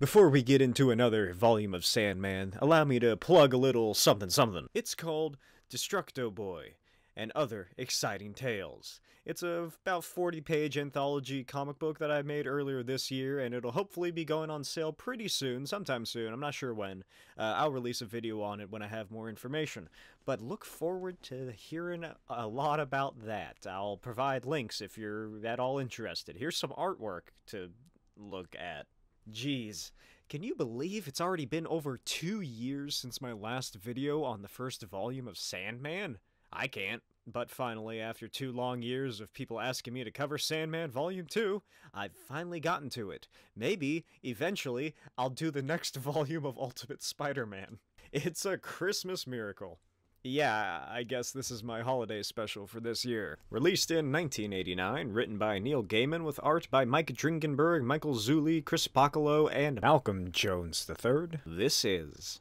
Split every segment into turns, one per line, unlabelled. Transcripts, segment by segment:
Before we get into another volume of Sandman, allow me to plug a little something something. It's called Destructo Boy and Other Exciting Tales. It's a about 40 page anthology comic book that I made earlier this year, and it'll hopefully be going on sale pretty soon, sometime soon, I'm not sure when. Uh, I'll release a video on it when I have more information. But look forward to hearing a lot about that. I'll provide links if you're at all interested. Here's some artwork to look at. Geez, can you believe it's already been over two years since my last video on the first volume of Sandman? I can't. But finally, after two long years of people asking me to cover Sandman Volume 2, I've finally gotten to it. Maybe, eventually, I'll do the next volume of Ultimate Spider-Man. It's a Christmas miracle. Yeah, I guess this is my holiday special for this year. Released in 1989, written by Neil Gaiman with art by Mike Dringenberg, Michael Zuli, Chris Pocolo, and Malcolm Jones III. This is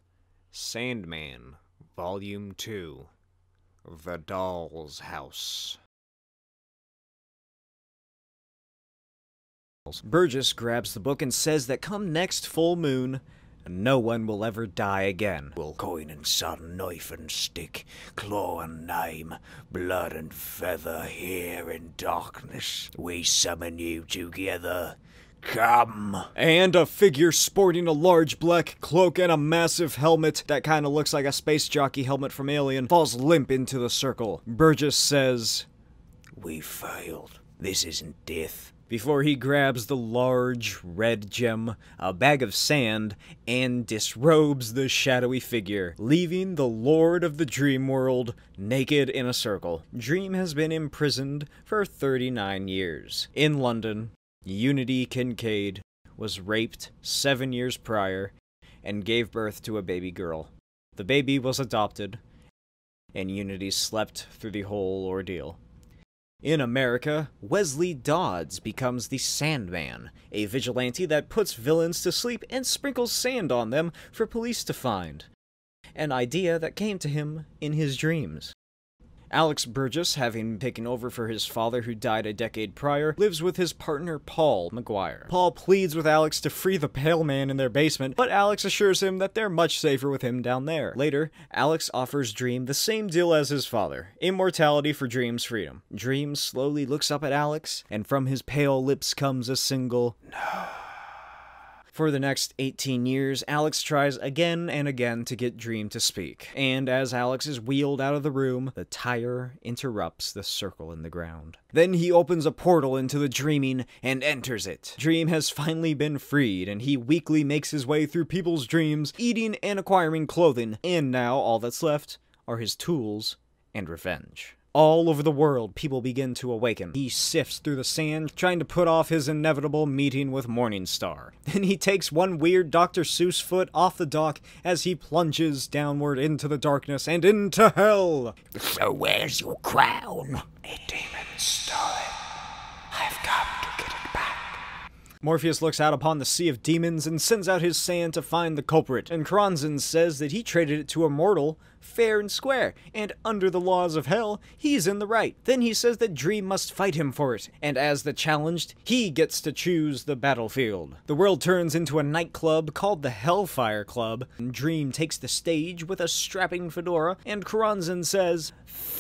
Sandman, Volume 2 The Doll's House. Burgess grabs the book and says that come next full moon, and no one will ever die again. Will coin and sword, knife and
stick, claw and name, blood and feather, here in darkness we summon you together. Come.
And a figure sporting a large black cloak and a massive helmet that kind of looks like a space jockey helmet from Alien falls limp into the circle. Burgess says,
We failed.
This isn't death.
Before he grabs the large red gem a bag of sand and disrobes the shadowy figure, leaving the Lord of the Dream World naked in a circle. Dream has been imprisoned for 39 years. In London, Unity Kincaid was raped seven years prior and gave birth to a baby girl. The baby was adopted, and Unity slept through the whole ordeal. In America, Wesley Dodds becomes the Sandman, a vigilante that puts villains to sleep and sprinkles sand on them for police to find. An idea that came to him in his dreams. Alex Burgess, having taken over for his father who died a decade prior, lives with his partner Paul McGuire. Paul pleads with Alex to free the Pale Man in their basement, but Alex assures him that they're much safer with him down there. Later, Alex offers Dream the same deal as his father, immortality for Dream's freedom. Dream slowly looks up at Alex, and from his pale lips comes a single, No. For the next 18 years, Alex tries again and again to get Dream to speak, and as Alex is wheeled out of the room, the tire interrupts the circle in the ground. Then he opens a portal into the dreaming and enters it. Dream has finally been freed, and he weakly makes his way through people's dreams eating and acquiring clothing, and now all that's left are his tools and revenge. All over the world, people begin to awaken. He sifts through the sand, trying to put off his inevitable meeting with Morningstar. Then he takes one weird Dr. Seuss foot off the dock as he plunges downward into the darkness and into hell.
So where's your crown? A demon stone. I've come
to get it back. Morpheus looks out upon the Sea of Demons and sends out his sand to find the culprit, and Kronzin says that he traded it to a mortal, fair and square, and under the laws of hell, he's in the right. Then he says that Dream must fight him for it, and as the challenged, he gets to choose the battlefield. The world turns into a nightclub called the Hellfire Club, and Dream takes the stage with a strapping fedora, and Kronzin says,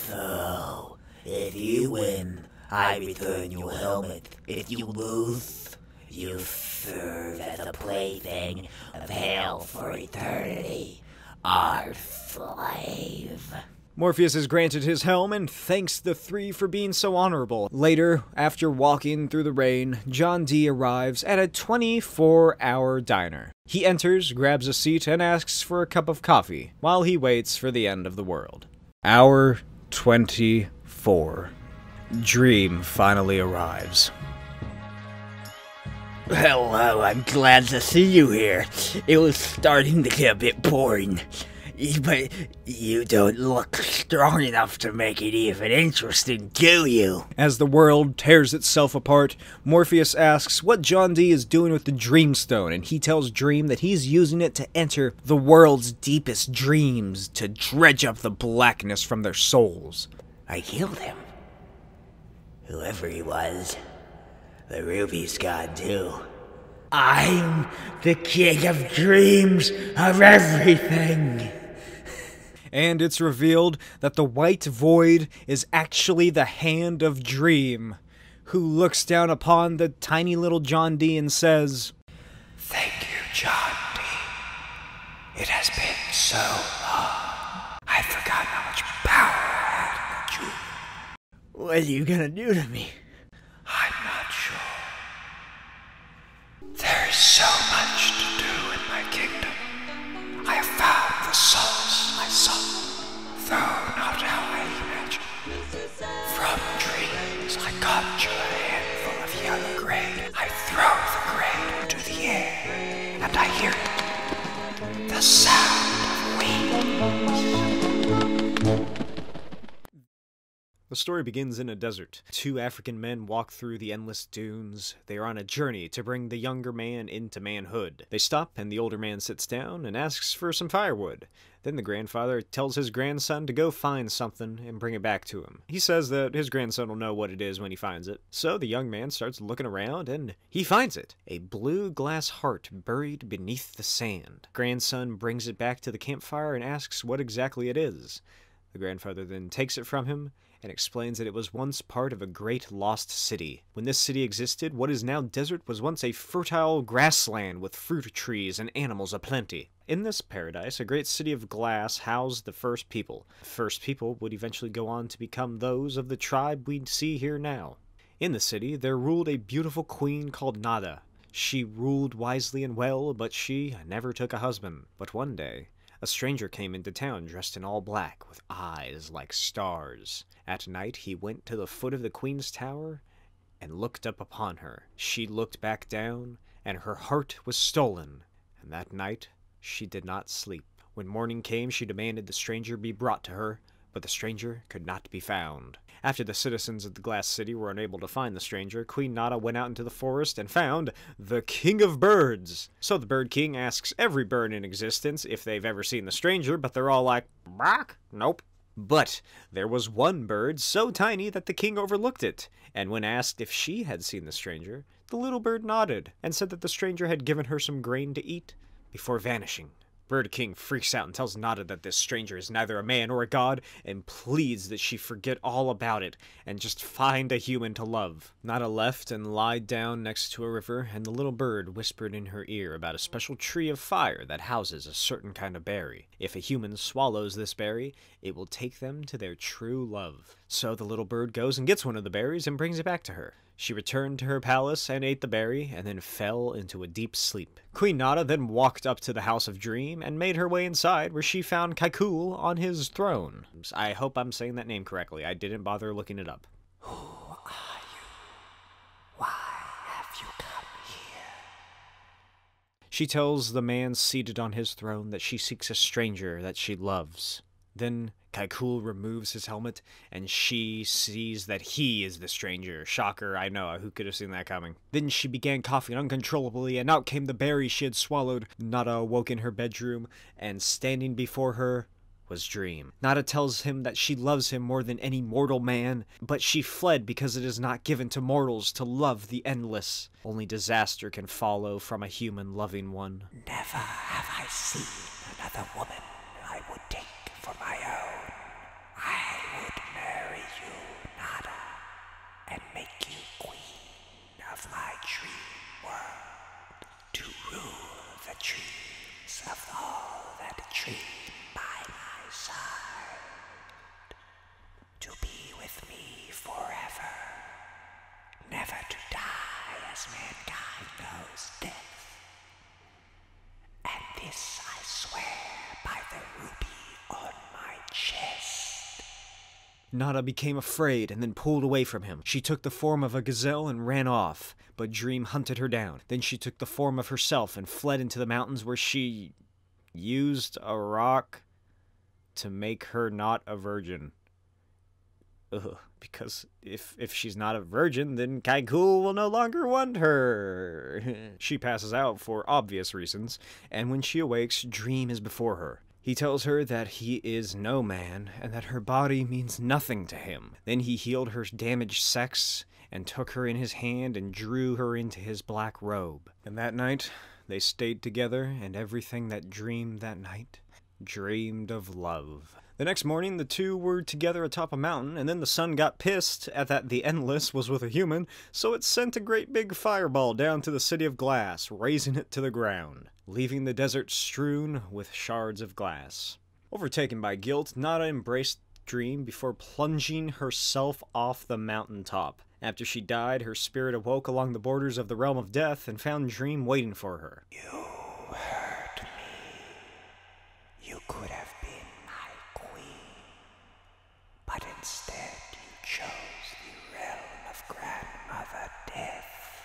Thou if you win, I return your helmet. If you lose, you serve as a plaything of hell for eternity. Our slave.
Morpheus is granted his helm and thanks the three for being so honorable. Later, after walking through the rain, John D arrives at a 24 hour diner. He enters, grabs a seat, and asks for a cup of coffee while he waits for the end of the world. Hour 24. Dream finally
arrives. Hello, I'm glad to see you here. It was starting to get a bit boring. But you don't look strong enough to make it even interesting, do you?
As the world tears itself apart, Morpheus asks what John D is doing with the Dreamstone, and he tells Dream that he's using it to enter the world's deepest dreams to dredge up the
blackness from their souls. I healed him. Whoever he was, the ruby's gone too. I'm the king of dreams of everything. And it's
revealed that the white void is actually the hand of dream who looks down upon the tiny little John D and says,
Thank you, John D. It has been so long. I've forgotten how much power I had in the What are you gonna do to me? I'm not sure. There is so much to do in my kingdom. I have found the solace I sought, though not how I imagined. From dreams, I capture a handful of yellow grain. I throw the grain into the air, and I hear it. The sound of wings.
The story begins in a desert. Two African men walk through the endless dunes. They are on a journey to bring the younger man into manhood. They stop, and the older man sits down and asks for some firewood. Then the grandfather tells his grandson to go find something and bring it back to him. He says that his grandson will know what it is when he finds it. So the young man starts looking around and he finds it a blue glass heart buried beneath the sand. Grandson brings it back to the campfire and asks what exactly it is. The grandfather then takes it from him and explains that it was once part of a great lost city. When this city existed, what is now desert was once a fertile grassland with fruit trees and animals aplenty. In this paradise, a great city of glass housed the first people. The first people would eventually go on to become those of the tribe we see here now. In the city, there ruled a beautiful queen called Nada. She ruled wisely and well, but she never took a husband. But one day, a stranger came into town dressed in all black, with eyes like stars. At night, he went to the foot of the queen's tower and looked up upon her. She looked back down, and her heart was stolen. And that night she did not sleep. When morning came, she demanded the stranger be brought to her, but the stranger could not be found. After the citizens of the Glass City were unable to find the stranger, Queen Nada went out into the forest and found the King of Birds. So the Bird King asks every bird in existence if they've ever seen the stranger, but they're all like, Bark? Nope. But there was one bird so tiny that the king overlooked it, and when asked if she had seen the stranger, the little bird nodded and said that the stranger had given her some grain to eat before vanishing. Bird King freaks out and tells Notta that this stranger is neither a man or a god and pleads that she forget all about it and just find a human to love. Notta left and lied down next to a river, and the little bird whispered in her ear about a special tree of fire that houses a certain kind of berry. If a human swallows this berry, it will take them to their true love. So the little bird goes and gets one of the berries and brings it back to her. She returned to her palace and ate the berry, and then fell into a deep sleep. Queen Nada then walked up to the House of Dream and made her way inside, where she found Kaikul on his throne. I hope I'm saying that name correctly. I didn't bother looking it up. Who are you? Why have you come here? She tells the man seated on his throne that she seeks a stranger that she loves. Then Kaikul removes his helmet, and she sees that he is the stranger. Shocker, I know, who could have seen that coming? Then she began coughing uncontrollably, and out came the berry she had swallowed. Nada awoke in her bedroom, and standing before her was Dream. Nada tells him that she loves him more than any mortal man, but she fled because it is not given to mortals to love the endless. Only disaster can follow from a human loving one.
Never have I seen another woman I would take for my own. I would marry you, Nada, and make you queen of my dream world, to rule the dreams of all that dream by my side to be with me forever, never to die as mankind knows death. And this I swear by the ruby on
my chest. Nada became afraid and then pulled away from him. She took the form of a gazelle and ran off, but Dream hunted her down. Then she took the form of herself and fled into the mountains where she used a rock to make her not a virgin. because if if she's not a virgin, then Kaikul will no longer want her. she passes out for obvious reasons, and when she awakes, Dream is before her. He tells her that he is no man and that her body means nothing to him. Then he healed her damaged sex and took her in his hand and drew her into his black robe. And that night, they stayed together, and everything that dreamed that night dreamed of love. The next morning, the two were together atop a mountain, and then the sun got pissed at that the Endless was with a human, so it sent a great big fireball down to the city of glass, raising it to the ground, leaving the desert strewn with shards of glass. Overtaken by guilt, Nada embraced dream before plunging herself off the mountain top. After she died, her spirit awoke along the borders of the realm of death and found Dream waiting for her. You hurt me.
You could have been my queen. But instead, you chose the realm of Grandmother Death.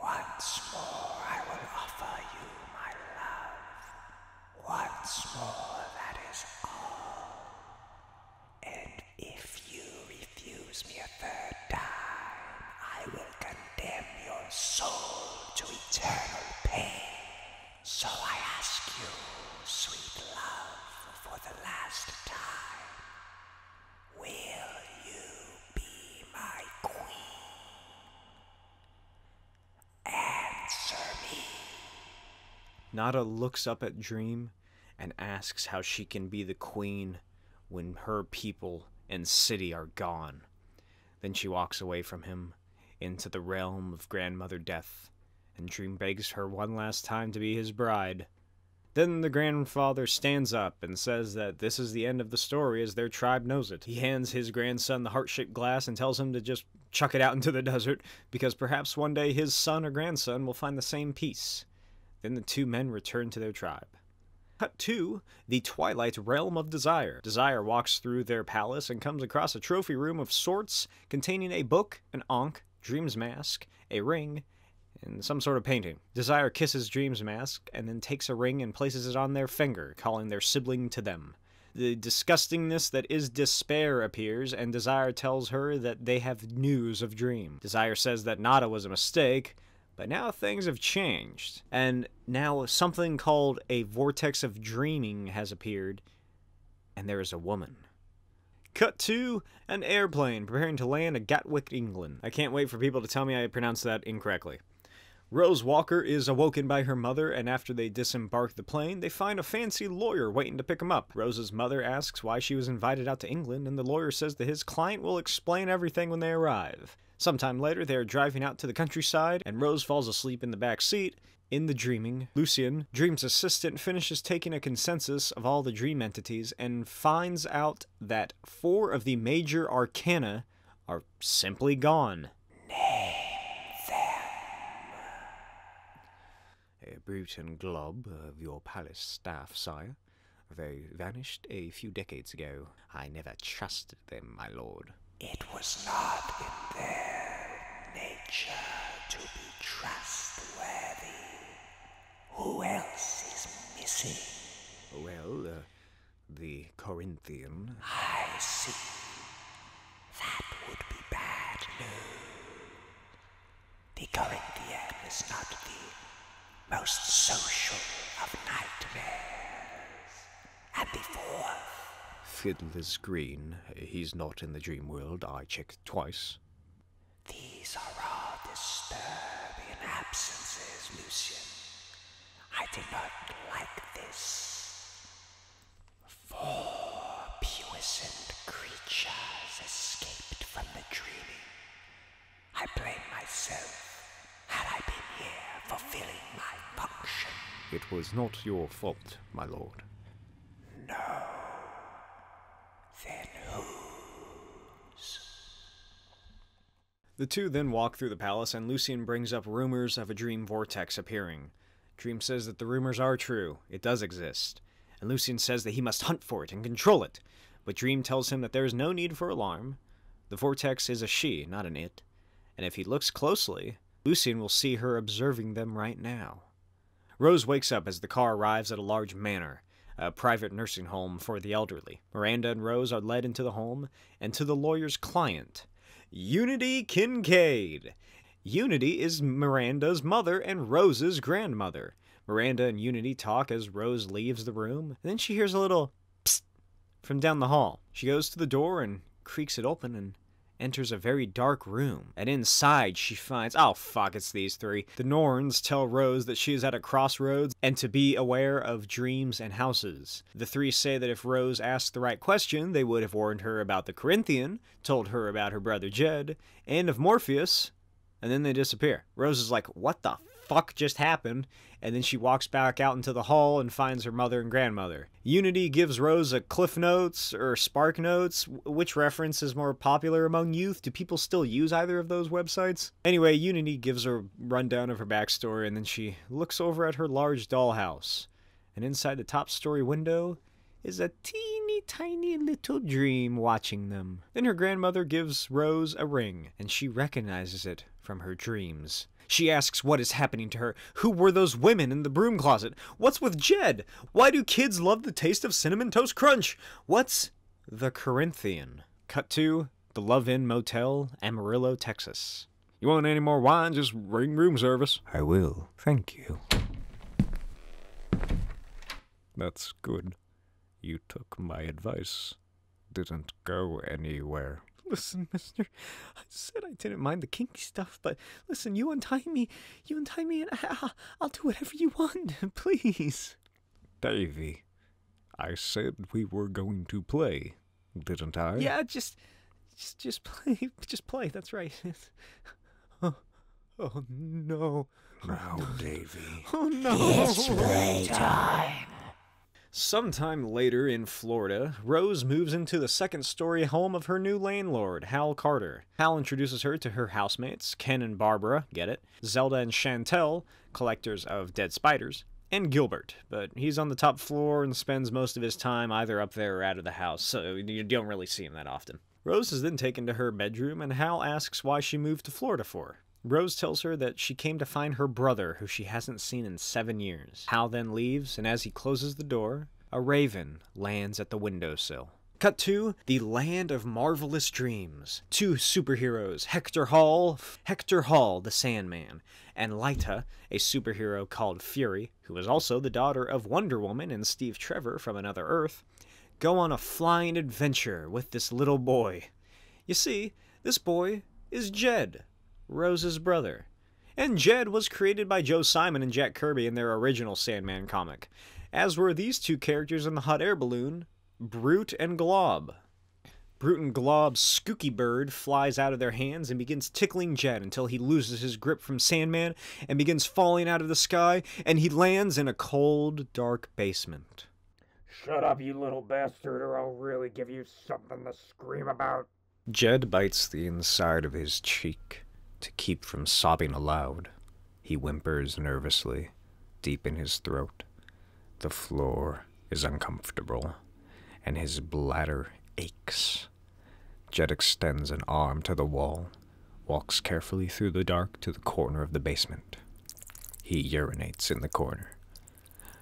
Once more, I will offer you my love. Once more, that is all. And if you refuse me a third time, I will condemn your soul to eternal pain. So I ask you, sweet love, for the last time, will you be my queen?
Answer me. Nada looks up at Dream and asks how she can be the queen when her people and city are gone. Then she walks away from him into the realm of Grandmother Death, and Dream begs her one last time to be his bride. Then the grandfather stands up and says that this is the end of the story as their tribe knows it. He hands his grandson the heart shaped glass and tells him to just chuck it out into the desert, because perhaps one day his son or grandson will find the same peace. Then the two men return to their tribe. Cut two. the Twilight Realm of Desire. Desire walks through their palace and comes across a trophy room of sorts containing a book, an onk, Dream's Mask, a ring, and some sort of painting. Desire kisses Dream's mask and then takes a ring and places it on their finger, calling their sibling to them. The disgustingness that is despair appears, and Desire tells her that they have news of Dream. Desire says that Nada was a mistake, but now things have changed. And now something called a vortex of dreaming has appeared, and there is a woman. Cut to an airplane preparing to land at Gatwick, England. I can't wait for people to tell me I pronounced that incorrectly. Rose Walker is awoken by her mother, and after they disembark the plane, they find a fancy lawyer waiting to pick them up. Rose's mother asks why she was invited out to England, and the lawyer says that his client will explain everything when they arrive. Sometime later, they are driving out to the countryside, and Rose falls asleep in the back seat. In the dreaming, Lucian, Dream's assistant, finishes taking a consensus of all the dream entities and finds out that four of the major arcana are simply gone a Bruton glob of your palace staff, sire, They vanished a few decades ago. I never trusted them, my lord. It was not in their
nature to be trustworthy.
Who else
is missing? Well, uh, the Corinthian. I see. That would be bad news.
The Corinthian is not the most social of nightmares. And the fourth.
Fiddler's
Green. He's not in the dream world. I checked twice.
These are all disturbing absences, Lucian. I do not like this. Four puissant creatures escaped from the dreaming. I blame myself. Had I been here fulfilling my function.
It was not your fault, my lord.
No. Then
whose? The two then walk through the palace, and Lucian brings up rumors of a dream vortex appearing. Dream says that the rumors are true, it does exist, and Lucian says that he must hunt for it and control it, but Dream tells him that there is no need for alarm. The vortex is a she, not an it, and if he looks closely, Lucian will see her observing them right now. Rose wakes up as the car arrives at a large manor, a private nursing home for the elderly. Miranda and Rose are led into the home and to the lawyer's client, Unity Kincaid. Unity is Miranda's mother and Rose's grandmother. Miranda and Unity talk as Rose leaves the room, and then she hears a little psst from down the hall. She goes to the door and creaks it open and enters a very dark room, and inside she finds, oh fuck, it's these three. The Norns tell Rose that she is at a crossroads and to be aware of dreams and houses. The three say that if Rose asked the right question, they would have warned her about the Corinthian, told her about her brother Jed, and of Morpheus, and then they disappear. Rose is like, What the fuck just happened? And then she walks back out into the hall and finds her mother and grandmother. Unity gives Rose a Cliff Notes or Spark Notes. Which reference is more popular among youth? Do people still use either of those websites? Anyway, Unity gives her a rundown of her backstory and then she looks over at her large dollhouse. And inside the top story window is a teeny tiny little dream watching them. Then her grandmother gives Rose a ring, and she recognizes it from her dreams. She asks what is happening to her. Who were those women in the broom closet? What's with Jed? Why do kids love the taste of Cinnamon Toast Crunch? What's the Corinthian? Cut to the Love Inn Motel, Amarillo, Texas. You want any more wine? Just ring room service. I will thank you. That's good. You took my advice. Didn't go anywhere. Listen, mister, I said I didn't mind the kinky stuff, but listen, you untie me. You untie me and I, will do whatever you want, please. Davy, I said we were going to play, didn't I? Yeah, just, just, just play, just play, that's right. Oh, Oh no. Now, Davy. Oh no. It's playtime. Sometime later in Florida, Rose moves into the second story home of her new landlord, Hal Carter. Hal introduces her to her housemates, Ken and Barbara, get it, Zelda and Chantel, collectors of dead spiders, and Gilbert, but he's on the top floor and spends most of his time either up there or out of the house, so you don't really see him that often. Rose is then taken to her bedroom, and Hal asks why she moved to Florida for. Rose tells her that she came to find her brother, who she hasn't seen in seven years. Hal then leaves, and as he closes the door, a raven lands at the windowsill. Cut to the land of marvelous dreams. Two superheroes, Hector Hall, Hector Hall, the Sandman, and Lyta, a superhero called Fury, who is also the daughter of Wonder Woman and Steve Trevor from Another Earth, Go on a flying adventure with this little boy. You see, this boy is Jed, Rose's brother. And Jed was created by Joe Simon and Jack Kirby in their original Sandman comic, as were these two characters in the hot air balloon, Brute and Glob. Brute and Glob's Skooky Bird flies out of their hands and begins tickling Jed until he loses his grip from Sandman and begins falling out of the sky, and he lands in a cold, dark basement.
Shut up, you little bastard, or I'll really give you something to scream about.
Jed bites the inside of his cheek to keep from sobbing aloud. He whimpers nervously, deep in his throat. The floor is uncomfortable, and his bladder aches. Jed extends an arm to the wall walks carefully through the dark to the corner of the basement. He urinates in the corner.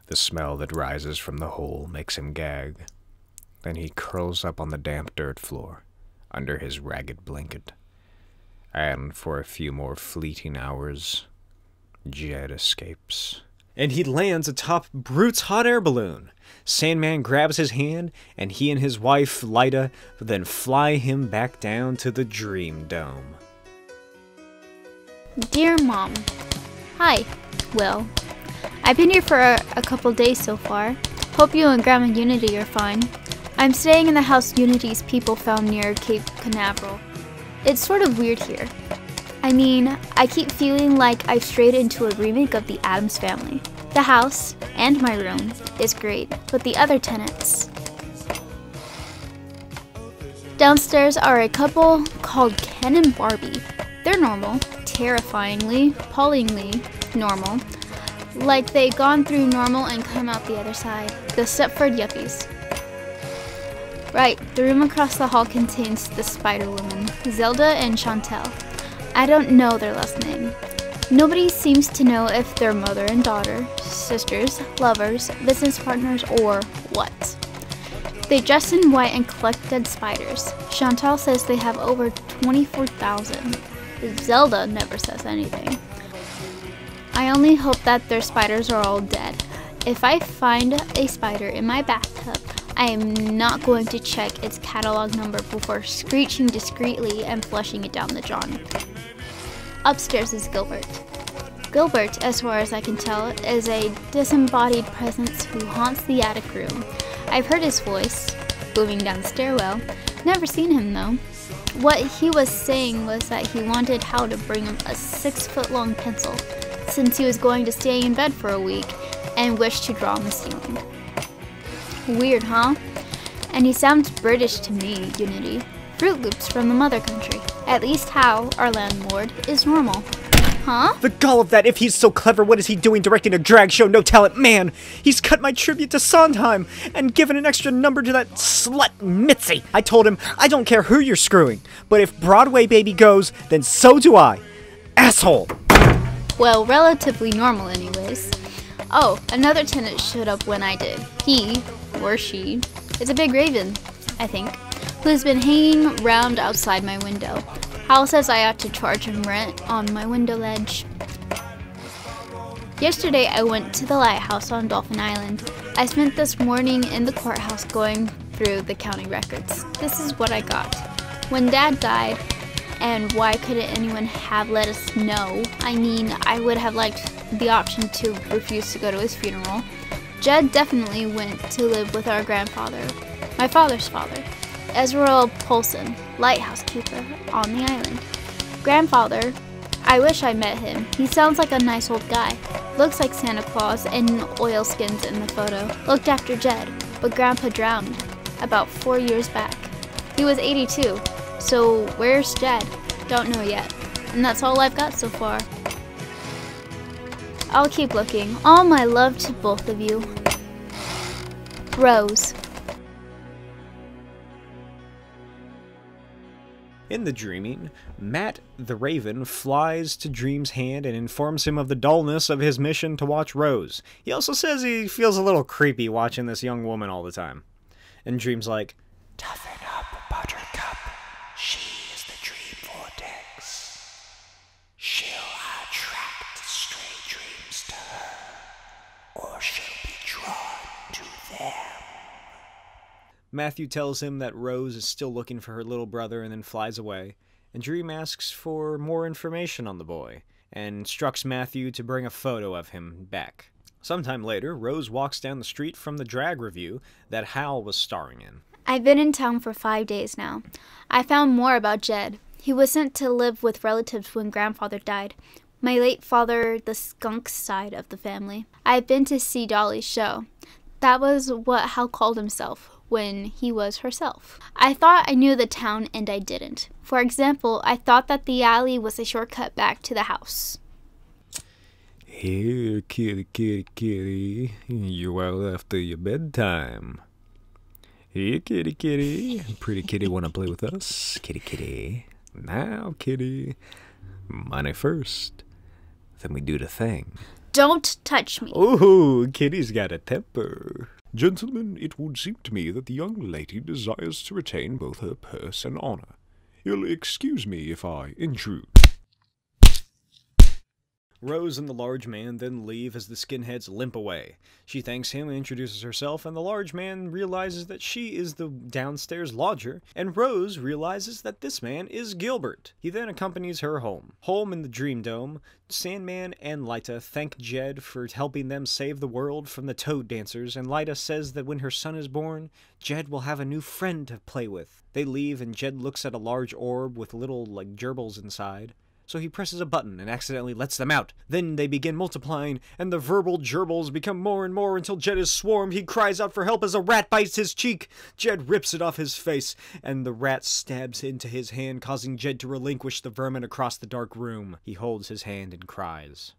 The smell that rises from the hole makes him gag. Then he curls up on the damp dirt floor, under his ragged blanket. And for a few more fleeting hours, Jed escapes. And he lands atop Brute's hot air balloon. Sandman grabs his hand and he and his wife, Lyda, then fly him back down to the Dream Dome.
Dear Mom, Hi, Will. I've been here for a, couple days so far. Hope you and Grandma Unity are fine. I'm staying in the house Unity's people found near Cape Canaveral. It's sort of weird here. I mean, I keep feeling like I've strayed into a remake of the Adams Family. The house, and my room is great with the other tenants. Downstairs are a couple called Ken and Barbie. They're normal, terrifyingly, appallingly normal. Like they have gone through normal and come out the other side. The Stepford Yuppies. Right, the room across the hall contains the Spider Woman, Zelda and Chantel. I don't know their last name. Nobody seems to know if they're mother and daughter, sisters, lovers, business partners, or what. They dress in white and collect dead spiders. Chantal says they have over 24,000. Zelda never says anything. I only hope that their spiders are all dead. If I find a spider in my bathtub, I am not going to check its catalog number before screeching discreetly and flushing it down the drain. Upstairs is Gilbert. Gilbert, as far as I can tell, is a disembodied presence who haunts the attic room. I've heard his voice, booming down the stairwell. Never seen him though. What he was saying was that he wanted Hal to bring him a six foot long pencil, since he was going to stay in bed for a week and wished to draw on the ceiling. Weird, huh? And he sounds British to me, Unity. Fruit Loops from the mother country. At least how, our landlord, is normal. Huh?
The gall of that, if he's so clever, what is he doing directing a drag show, no talent man? He's cut my tribute to Sondheim and given an extra number to that slut Mitzi. I told him, I don't care who you're screwing, but if Broadway Baby goes, then so do I. Asshole!
Well, relatively normal anyways. Oh, another tenant showed up when I did. He, or she, is a big raven, I think, who's been hanging round outside my window. Hal says I ought to charge him rent on my window ledge. Yesterday I went to the lighthouse on Dolphin Island. I spent this morning in the courthouse going through the county records. This is what I got. When Dad died, and why couldn't anyone have let us know? I mean, I would have liked the option to refuse to go to his funeral. Jed definitely went to live with our grandfather, my father's father, Ezra Polson, lighthouse keeper on the island. Grandfather, I wish I met him. He sounds like a nice old guy. Looks like Santa Claus and oilskins in the photo. Looked after Jed, but Grandpa drowned about four years back. He was 82. So where's Jed? Don't know yet. And that's all I've got so far. I'll keep looking. All my love to both of you. Rose.
In the dreaming, Matt the Raven flies to Dream's hand and informs him of the dullness of his mission to watch Rose. He also says he feels a little creepy watching this young woman all the time. And Dream's like, Toughen up, Buttercup. She
is the Dream Vortex. She'll attract stray dreams to her, or she'll be drawn to them.
Matthew tells him that Rose is still looking for her little brother and then flies away. And Dream asks for more information on the boy and instructs Matthew to bring a photo of him back. Sometime later, Rose walks down the street from the drag review that Hal was starring in.
I've been in town for five days now. I found more about Jed. He was sent to live with relatives when grandfather died. My late father, the skunk side of the family. I've been to see Dolly's show. That was what Hal called himself when he was herself. I thought I knew the town and I didn't. For example, I thought that the alley was a shortcut back to the house.
Here, kitty, kitty, kitty, you are left to your bedtime. Here, kitty, kitty, pretty kitty, wanna play with us? Kitty, kitty, now, kitty, money first, then we do the thing.
Don't touch me.
Oh, kitty's got a temper. Gentlemen, it would seem to me that the young lady desires to retain both her purse and honor. You'll excuse me if I intrude. Rose and the large man then leave as the skinheads limp away. She thanks him and introduces herself, and the large man realizes that she is the downstairs lodger, and Rose realizes that this man is Gilbert. He then accompanies her home. Home in the Dream Dome, Sandman and Lyta thank Jed for helping them save the world from the Toad Dancers, and Lyda says that when her son is born, Jed will have a new friend to play with. They leave, and Jed looks at a large orb with little, like, gerbils inside. So he presses a button and accidentally lets them out. Then they begin multiplying, and the verbal gerbils become more and more until Jed is swarmed. He cries out for help as a rat bites his cheek. Jed rips it off his face, and the rat stabs into his hand, causing Jed to relinquish the vermin across the dark room. He holds his hand and cries.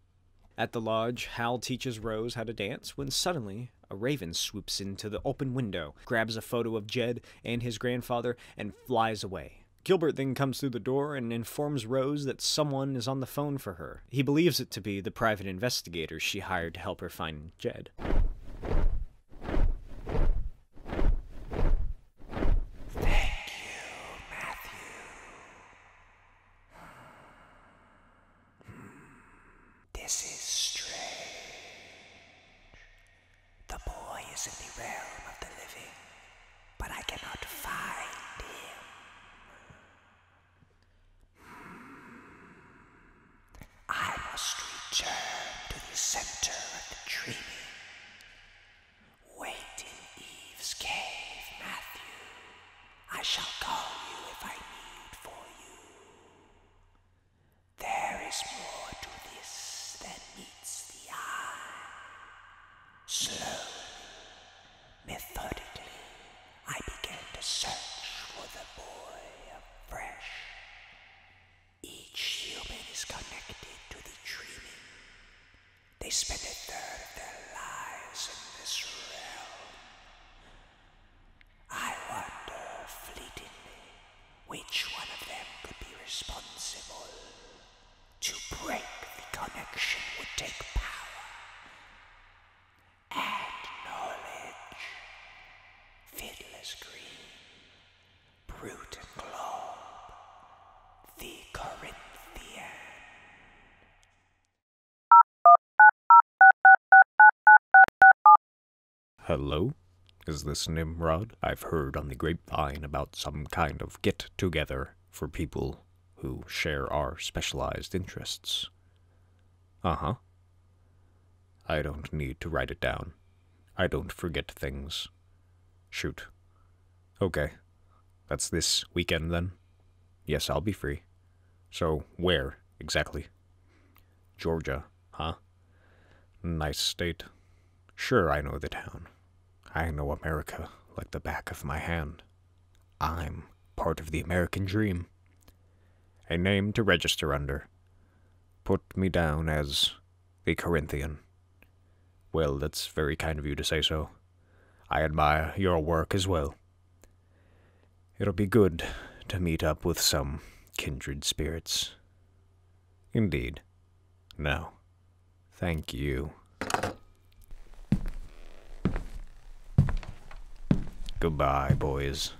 At the lodge, Hal teaches Rose how to dance when suddenly a raven swoops into the open window, grabs a photo of Jed and his grandfather, and flies away. Gilbert then comes through the door and informs Rose that someone is on the phone for her. He believes it to be the private investigator she hired to help her find Jed. Thank
this is strange. The boy is in the realm of the living, but I cannot find him. I must return to the center of the dream. Wait in Eve's cave, Matthew. I shall call you if I need for you. There is more to this than meets the eye. Slowly, methodically, I began to search for the boy afresh. Each human is connected to the dreaming, they spend a third of their lives in this realm. I wonder fleetingly which one of them could be responsible. To break the connection would take power and knowledge. Fiddler's Green, Brute and claw, the Corinthian.
Hello? Is this Nimrod? I've heard on the grapevine about some kind
of get together for people who share our specialized interests. Uh huh. I don't need to write it down. I don't forget things. Shoot. Okay. That's this weekend then? Yes, I'll be free. So, where exactly? Georgia, huh? Nice state. Sure, I know the
town. I know America like the back of
my hand. I'm part of the American dream. A name to register under. Put me down as the Corinthian. Well, that's very kind of you to say so. I admire your work as well. It'll be good to meet up with some kindred spirits. Indeed. No. Thank you. Goodbye, boys.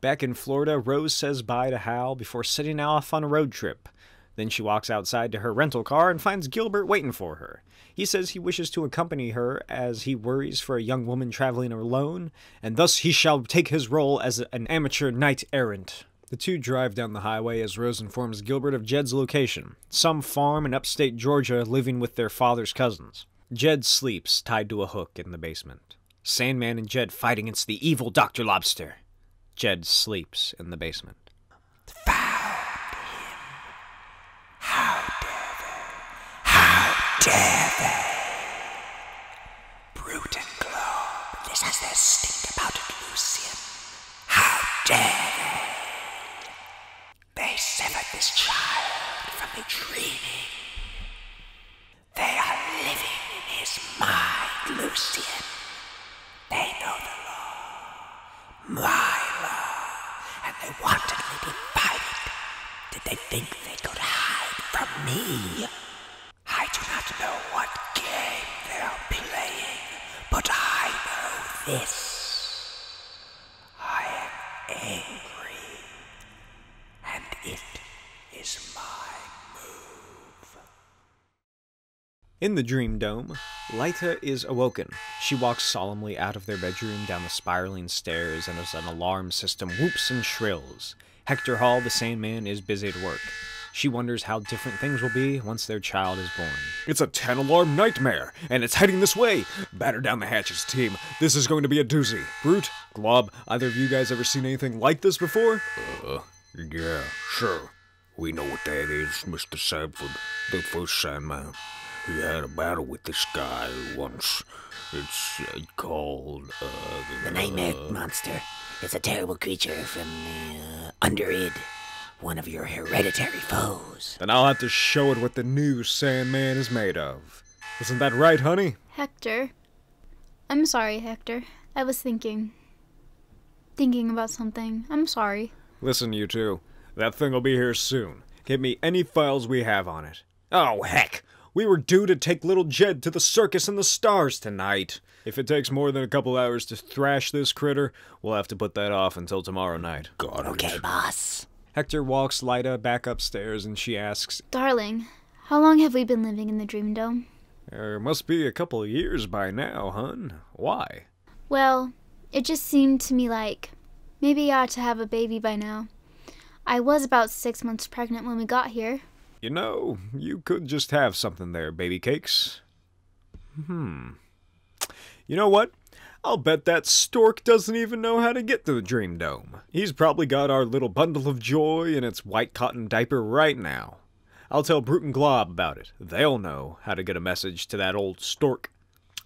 Back in Florida, Rose says bye to Hal before setting off on a road trip. Then she walks outside to her rental car and finds Gilbert waiting for her. He says he wishes to accompany her as he worries for a young woman traveling alone, and thus he shall take his role as an amateur knight errant. The two drive down the highway as Rose informs Gilbert of Jed's location, some farm in upstate Georgia living with their father's cousins. Jed sleeps tied to a hook in the basement. Sandman and Jed fight against the evil Dr. Lobster. Jed sleeps in the basement. Found him. How dare
they? How dare they? Brute Globe, this has their stink about it, Lucian. How dare they? They severed this child from the dreaming. They are living in his mind, Lucian. They know the law, my and they wanted me to fight it. Did they think they could hide from me? I do not know what game they are playing, but I know this. I am angry, and it is my move.
In the Dream Dome, Lyta is awoken. She walks solemnly out their bedroom down the spiraling stairs and as an alarm system whoops and shrills. Hector Hall, the same man, is busy at work. She wonders how different things will be once their child is born. It's a 10 alarm nightmare, and it's heading this way! Batter down the hatches, team. This is going to be a doozy. Brute, Glob, either of you guys ever seen anything like this before?
Uh, yeah, sure. We know what that is, Mr. Sam subscribed for the first sandman, Uh, he had a battle with this guy once. It's uh, called the, uh, the Nightmare Monster. It's a terrible creature
from the uh, Underid, one of your hereditary foes. Then I'll have
to show it what the new Sandman is made of. Isn't that right, honey?
Hector. I'm sorry, Hector. I was thinking. Thinking about something. I'm sorry.
Listen, you two. That thing'll be here soon. Get me any files we have on it. Oh, heck! We were due to take little Jed to the circus and the stars tonight. If it takes more than a couple hours to thrash this critter, we'll have to put that off until tomorrow night. God, Okay, boss. Hector walks Lyda back upstairs and she asks,
Darling, how long have we been living in the Dream Dome?
There must be a couple years by now, hun. Why?
Well, it just seemed to me like maybe I ought to have a baby by now. I was about six months pregnant when we got here.
You know, you could just have something there, baby cakes. Hmm. You know what? I'll bet that stork doesn't even know how to get to the Dream Dome. He's probably got our little bundle of joy in its white cotton diaper right now. I'll tell Brute and Glob about it. They'll know how to get a message to that old stork.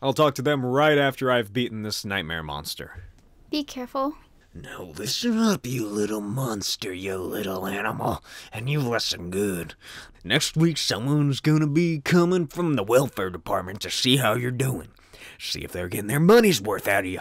I'll talk to them right after I've beaten this nightmare monster.
Be careful.
Now listen
up, you little monster, you little animal, and you listen good. Next week, someone's gonna be coming from the welfare department to see how you're doing, see if they're getting their money's worth out of you.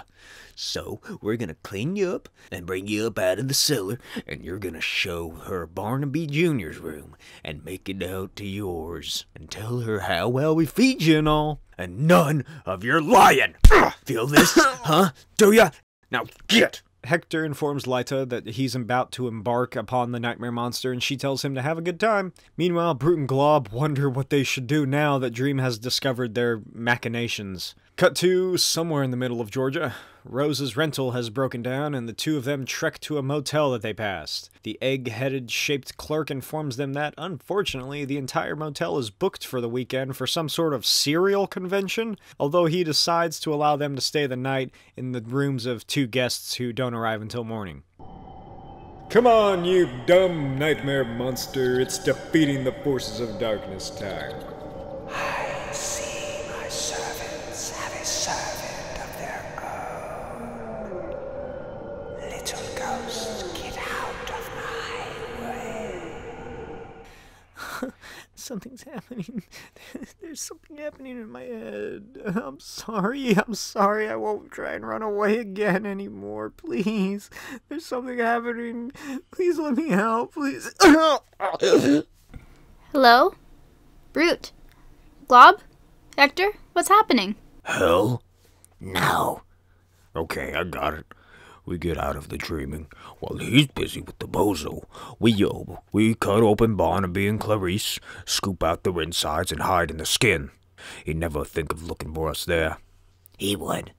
So, we're gonna clean you up and bring you up out of the cellar, and you're gonna show her Barnaby Jr.'s room and make it out to yours and tell her how well we feed you and all. And none of your lying! Feel this? huh? Do ya? Now
get! Hector informs Lyta that he's about to embark upon the nightmare monster and she tells him to have a good time. Meanwhile, Brute and Glob wonder what they should do now that Dream has discovered their machinations. Cut to somewhere in the middle of Georgia. Rose's rental has broken down and the two of them trek to a motel that they passed. The egg-headed shaped clerk informs them that, unfortunately, the entire motel is booked for the weekend for some sort of cereal convention, although he decides to allow them to stay the night in the rooms of two guests who don't arrive until morning. Come on, you dumb nightmare monster. It's defeating the forces of darkness time.
I see my servants have a servant of their own. Little ghost, get out of my way.
Something's happening. There's something happening in my head. I'm sorry. I'm sorry. I won't try and run away again anymore. Please. There's something
happening. Please let me help. Please. Hello? Brute. Glob? Hector? What's happening?
Hell? No. Okay, I got it. We get out of the dreaming. While he's busy with the bozo, we yob, we cut open Barnaby and Clarice, scoop out their insides and hide in the skin. He'd never think of looking for us there. He would.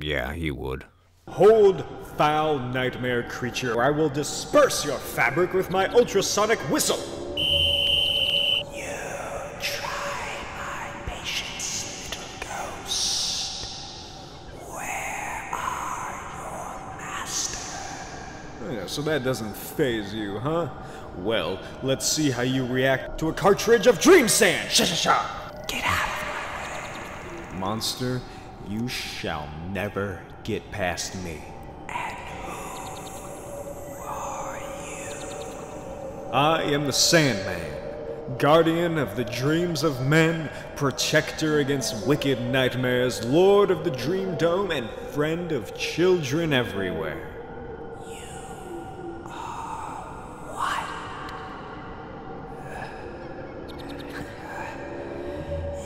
Yeah, he would. Hold, foul nightmare
creature, or I will disperse your fabric with my ultrasonic whistle. Oh, so that doesn't phase you, huh? Well, let's see how you react to a
cartridge of dream sand. Shusha, Get out
of my Monster, you shall never get past me. I am the Sandman, guardian of the dreams of men, protector against wicked nightmares, lord of the Dream Dome, and friend of children everywhere. You are what?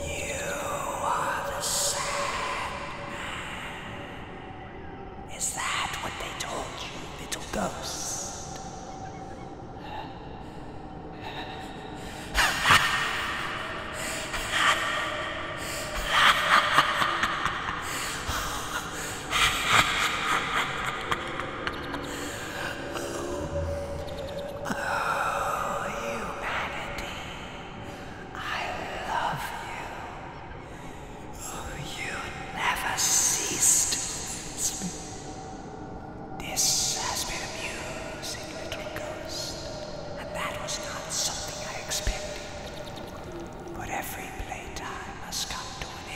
you are the Sandman. Is that what they told you, little ghost? oh, humanity, I love you. This has been amusing, little ghost, and that was not something I expected. But every playtime must come to an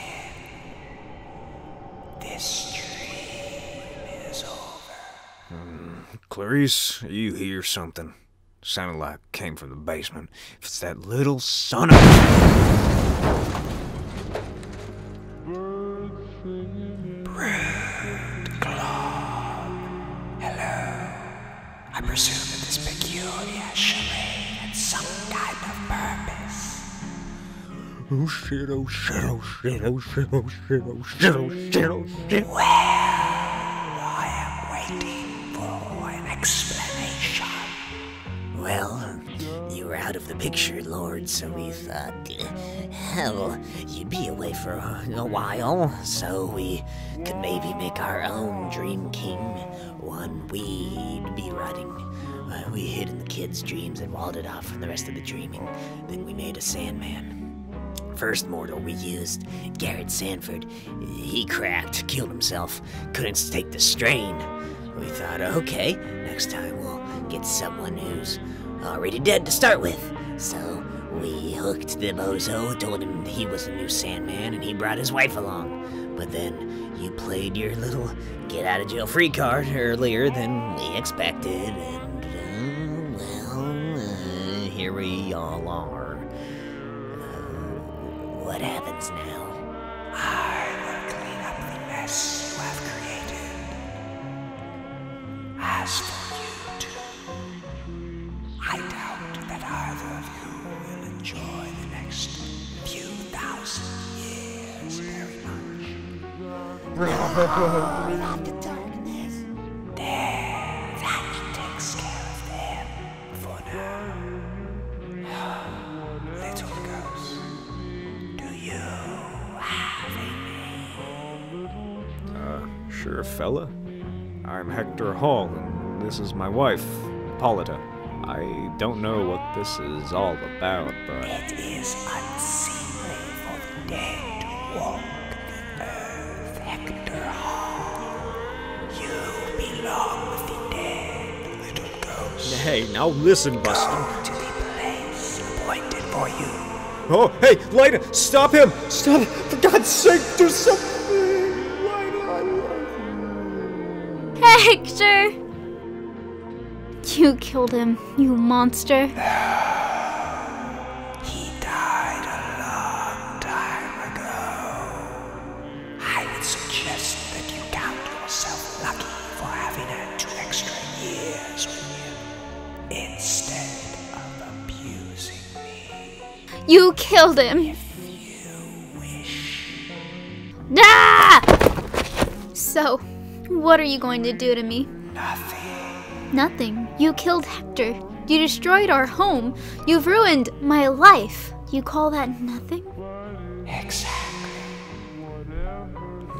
end. This dream is over. Hmm.
Clarice, you hear something? Sounded like it came from the basement. If it's that little
son of Bread Glob. Hello. I presume that this peculiar charade had some kind of purpose.
Oh shit, oh shit, oh shit, oh shit, oh shit, oh shit, oh shit, oh shit. Well, I
am waiting for an explanation. Well, you were out of the picture, Lord, so we thought, hell, eh, you'd be away for a while, so we could maybe make our own Dream King, one we'd be riding. Uh, we hid in the kids' dreams and walled it off from the rest of the dreaming. Then we made a Sandman. First mortal, we used Garrett Sanford he cracked, killed himself, couldn't take the strain. We thought, okay, next time we'll get someone who's already dead to start with. So we hooked the bozo, told him he was the new Sandman, and he brought his wife along. But then you played your little get out of jail free card earlier than we expected, and uh, well, uh, here we all are. Uh, what happens now? I will clean up the mess you have created. As for you two, I doubt that either of you will enjoy the next few thousand
years very much. Not the darkness. There, that takes care of them for now.
Uh, sure, fella. I'm Hector Hall, and this is my wife, Polita. I don't know what this is all about, but. It
is unseemly for the dead to walk the earth.
You belong with the dead, little ghost. Hey, now listen, Buster.
to the place appointed for you.
Oh, hey, Lida, stop him! Stop! For God's sake, do
something! Lida, Hector! You killed him, you monster. he died a
long time ago. I would suggest that you count yourself lucky for having had two extra years with
you instead of abusing me. You killed him. If ah! So, what are you going to do to me? Nothing. Nothing. You killed Hector. You destroyed our home. You've ruined my life. You call that nothing? Exactly.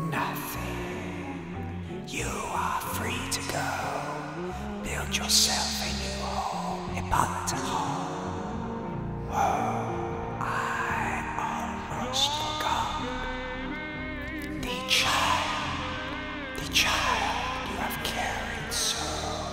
Nothing. You are free to go. Build yourself a new home, Hippolyta Hall. Oh, I almost forgot. The child, the child you have carried so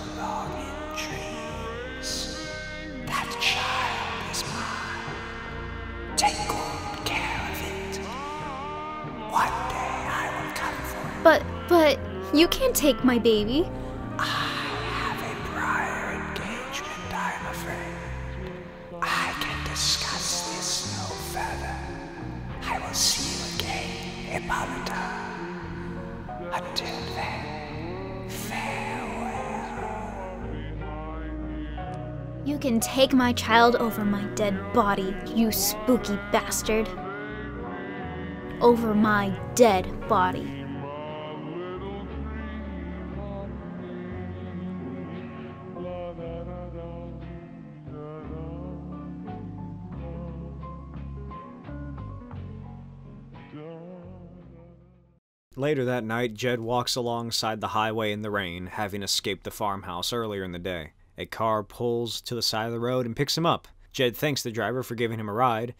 but, but, you can't take my baby. I
have a prior engagement, I'm afraid.
I can discuss
this no further. will see you again, Hippolyta. Until then, farewell.
You can take my child over my dead body, you spooky bastard. Over my dead body.
Later that night, Jed walks alongside the highway in the rain, having escaped the farmhouse earlier in the day. A car pulls to the side of the road and picks him up. Jed thanks the driver for giving him a ride,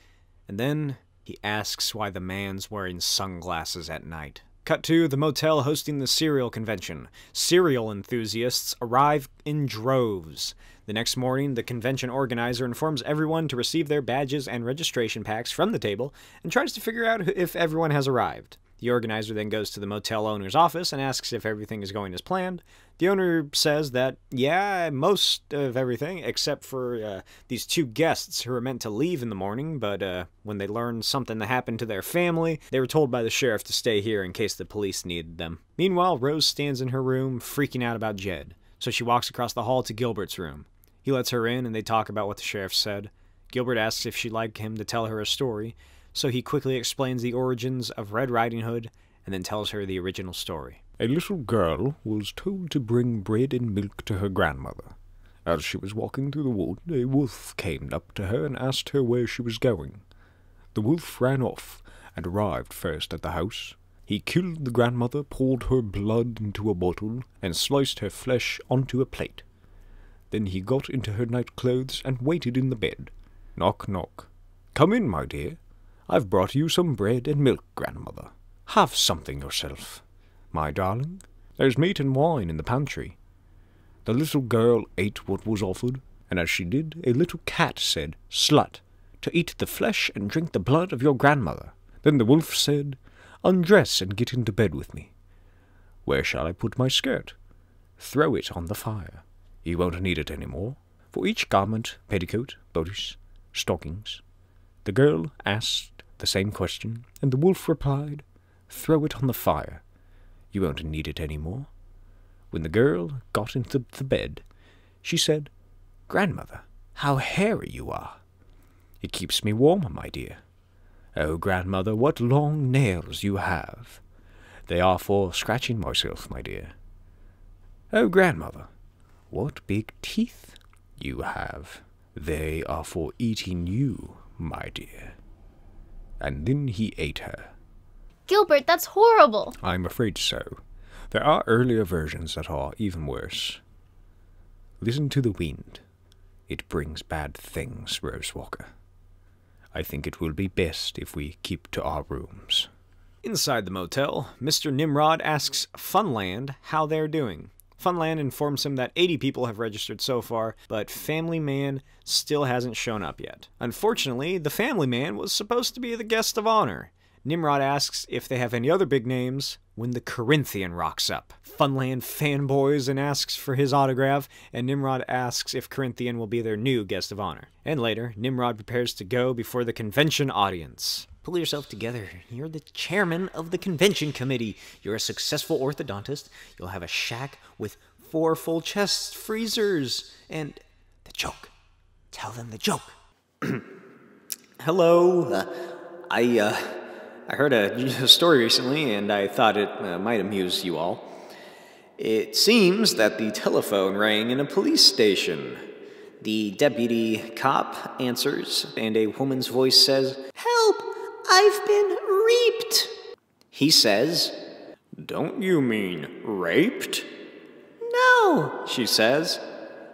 and then he asks why the man's wearing sunglasses at night. Cut to the motel hosting the cereal convention. Cereal enthusiasts arrive in droves. The next morning, the convention organizer informs everyone to receive their badges and registration packs from the table and tries to figure out if everyone has arrived. The organizer then goes to the motel owner's office and asks if everything is going as planned. The owner says that, yeah, most of everything, except for uh, these two guests who were meant to leave in the morning, but uh, when they learned something that happened to their family, they were told by the sheriff to stay here in case the police needed them. Meanwhile, Rose stands in her room, freaking out about Jed, so she walks across the hall to Gilbert's room. He lets her in, and they talk about what the sheriff said. Gilbert asks if she'd like him to tell her a story, so he quickly explains the origins of Red Riding Hood and then tells her the original story. A little girl was told to bring bread and milk to her grandmother. As she was walking through the wood, a wolf came up to her and asked her where she was going. The wolf ran off and arrived first at the house, he killed the grandmother, poured her blood into a bottle, and sliced her flesh onto a plate. Then he got into her night clothes and waited in the bed.
Knock, knock.
Come in, my dear. I've brought you some bread and milk, grandmother. Have something yourself. My darling, there's meat and wine in the pantry. The little girl ate what was offered, and as she did, a little cat said, Slut! to eat the flesh and drink the blood of your grandmother. Then the wolf said, Undress and get into bed with me. Where shall I put my skirt? Throw it on the fire. You won't need it any more. For each garment, petticoat, bodice, stockings. The girl asked the same question, and the wolf replied, Throw it on the fire. You won't need it any more. When the girl got into the bed, she said, Grandmother, how hairy you are. It keeps me warm, my dear. Oh, grandmother, what long nails you have. They are for scratching myself, my dear. Oh, grandmother, what
big teeth you have. They are for eating you, my dear. And then he ate her.
Gilbert, that's horrible.
I'm afraid so. There are earlier versions that are even worse. Listen to the wind. It brings bad things, Rose Walker.
I think it will be best if we keep to our rooms.
Inside the motel, Mr. Nimrod asks Funland how they're doing. Funland informs him that 80 people have registered so far, but Family Man still hasn't shown up yet. Unfortunately, the Family Man was supposed to be the guest of honor, Nimrod asks if they have any other big names when the Corinthian rocks up. Funland fanboys and asks for his autograph, and Nimrod asks if Corinthian will be their new guest of honor. And later, Nimrod prepares to go before the convention audience. Pull yourself together. You're the chairman of the convention committee. You're a successful orthodontist. You'll have a shack with four full chest freezers,
and the joke. Tell them the joke.
Hello. Uh, I, uh, I heard a, story recently and I thought it uh, might amuse you all. It seems that the telephone rang in a police station. The deputy cop answers, and a woman's voice says,
Help! I've been raped."
He says, Don't you mean raped?
No,
she says.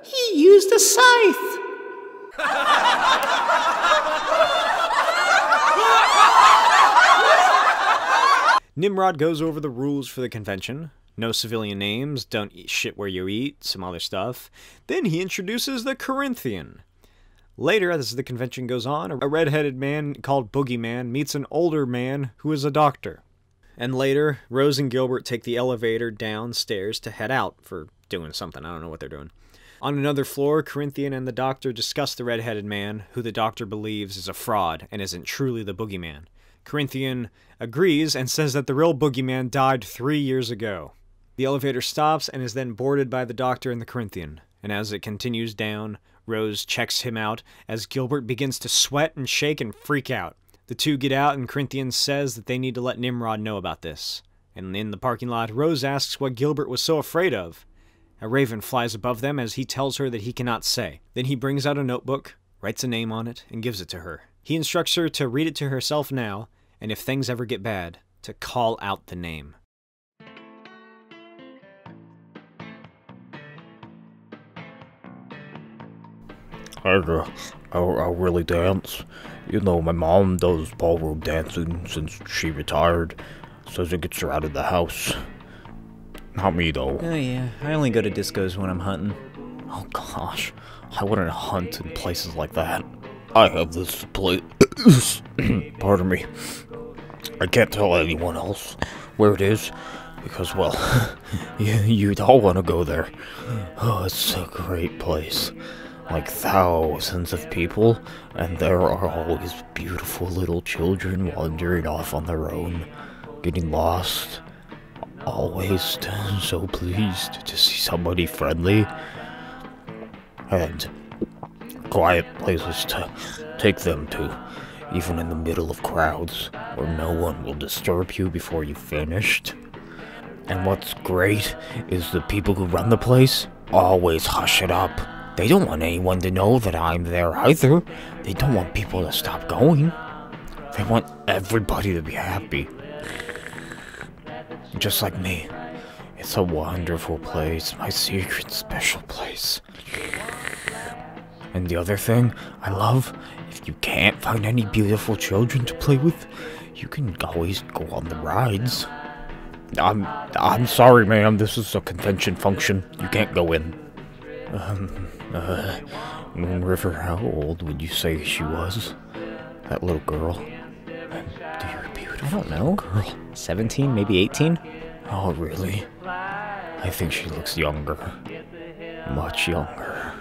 He used a scythe.
Nimrod goes over the rules for the convention. No civilian names, don't eat shit where you eat, some other stuff. Then he introduces the Corinthian. Later, as the convention goes on, a redheaded man called Boogeyman meets an older man who is a doctor. And later, Rose and Gilbert take the elevator downstairs to head out for doing something. I don't know what they're doing. On another floor, Corinthian and the doctor discuss the redheaded man, who the doctor believes is a fraud and isn't truly the boogeyman. Corinthian agrees and says that the real boogeyman died three years ago. The elevator stops and is then boarded by the doctor and the Corinthian. And as it continues down, Rose checks him out as Gilbert begins to sweat and shake and freak out. The two get out, and Corinthians says that they need to let Nimrod know about this. And in the parking lot, Rose asks what Gilbert was so afraid of. A raven flies above them as he tells her that he cannot say. Then he brings out a notebook, writes a name on it, and gives it to her. He instructs her to read it to herself now, and if things ever get bad, to call out the name.
I, uh, I, I really dance. You know, my mom does ballroom dancing since she retired. Says it gets her out of the house. Not me, though. Oh, yeah. I only go to discos when I'm hunting. Oh, gosh. I wouldn't hunt in places like that. I have this place. Pardon me. I can't tell anyone else where it is because, well, you, would all want to go there. Oh, it's a great place. Like thousands of people, and there are always beautiful little children wandering off on their own, getting lost. Always so pleased to see somebody friendly. And quiet places to take them to, even in the middle of crowds, where no one will disturb you before you've finished. And what's great is the people who run the place always hush it up. They don't want anyone to know that I'm there either. They don't want people to stop going. They want everybody to be happy. Just like me. It's a wonderful place, my secret special place. And the other thing I love, if you can't find any beautiful children to play with, you can always go on the rides. I'm I'm sorry, ma'am. This is a convention function. You can't go in. Um, uh, River, how old would you say she was? That little girl. Dear beautiful I don't know. Girl. 17, maybe 18? Oh, really? I think she looks younger. Much younger.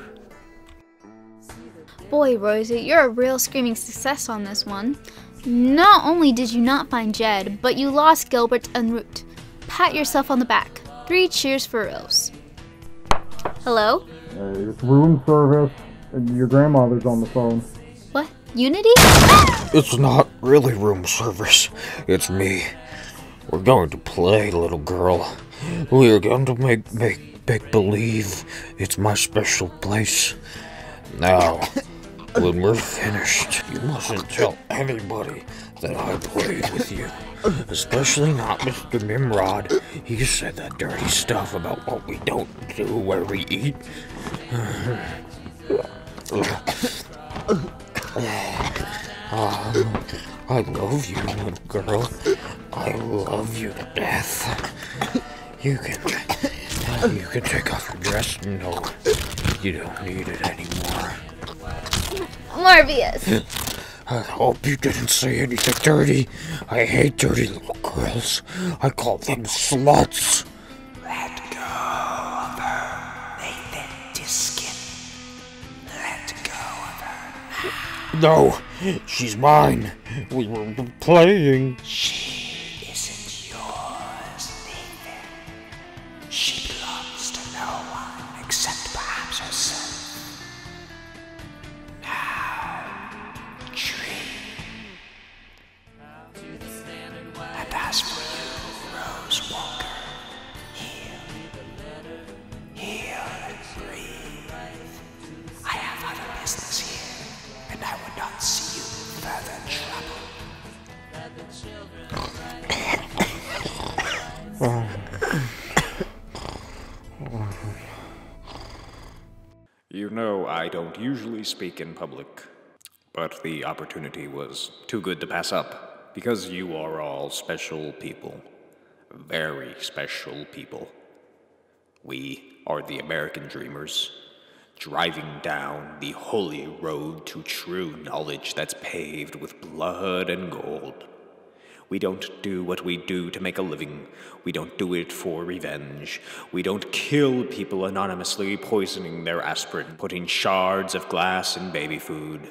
Boy, Rosie, you're a real screaming success on this one. Not only did you not find Jed, but you lost Gilbert and Root. Pat yourself on the back. Three cheers for Rose. Hello?
it's uh, room service. Your grandmother's on the phone.
What? Unity?
it's not really room service. It's me. We're going to play, little girl. We are going to make, make Big believe it's my special place. Now, when we're finished, you mustn't tell anybody that I played with you. Especially not Mr. Nimrod. He said that dirty stuff about what we don't do when we eat. I love you, little girl. I love you to death. You can, you can take off your dress. No, you don't need it anymore.
Marvius.
I hope you didn't say anything dirty. I hate dirty little girls. I call them sluts. Let go of her, Nathan Diskin. Let go of her. No, she's mine. we were playing. She isn't yours,
She belongs to no one except perhaps herself. Now, And as for you, Rose Walker,
you know, I don't usually speak in public, but the opportunity was
too good to pass up because you are all special people. Very special people. We are the American dreamers, driving down the holy road to true knowledge that's paved with blood and gold. We don't do what we do to make a living.
We don't do it for revenge. We don't kill people anonymously, poisoning their
aspirin, putting shards of glass in baby food.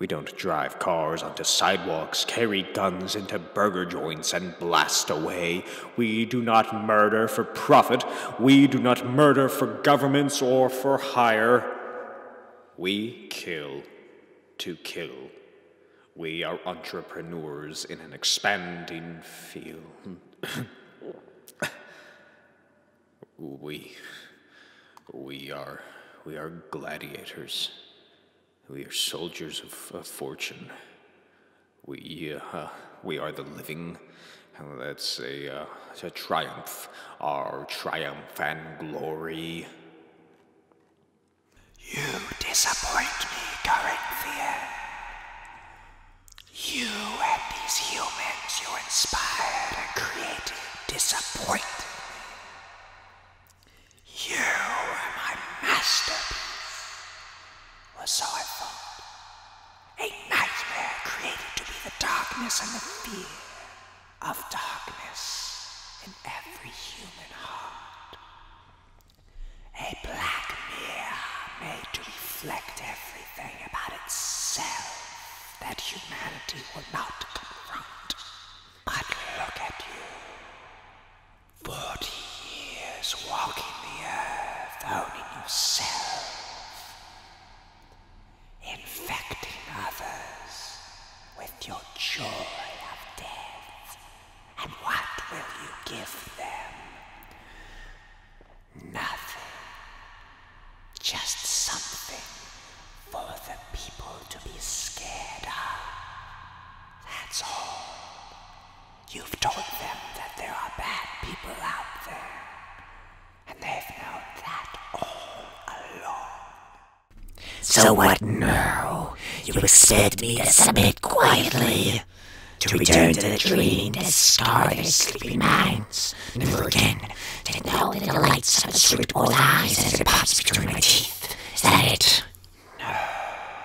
We don't drive cars onto sidewalks, carry guns into burger joints and blast away. We
do not murder for profit. We do not murder for governments or for
hire. We kill to kill. We are entrepreneurs in an expanding field. we. We are. We are gladiators. We are soldiers of, fortune. We, uh, we are the living, let's say, a uh, triumph, our triumph and glory. You disappoint me,
Corinthian. You and these humans you inspired and created disappoint me. You are my masterpiece, Was so I thought. A nightmare created to be the darkness and the fear of darkness in every human heart. A black mirror made to reflect everything about itself that humanity will not confront. But look at you. Forty years walking the earth, owning yourself, infecting others with your joy of death. And what will you give them? Nothing. Just something for the people to be scared of. That's all. You've told them that there are bad people out there, and they've known that all along. So, what now? You expect me to submit quietly? To return to the dream that started sleepy minds, never again to know the delights of the sweet old eyes that deposits between my teeth.
Is that it? No,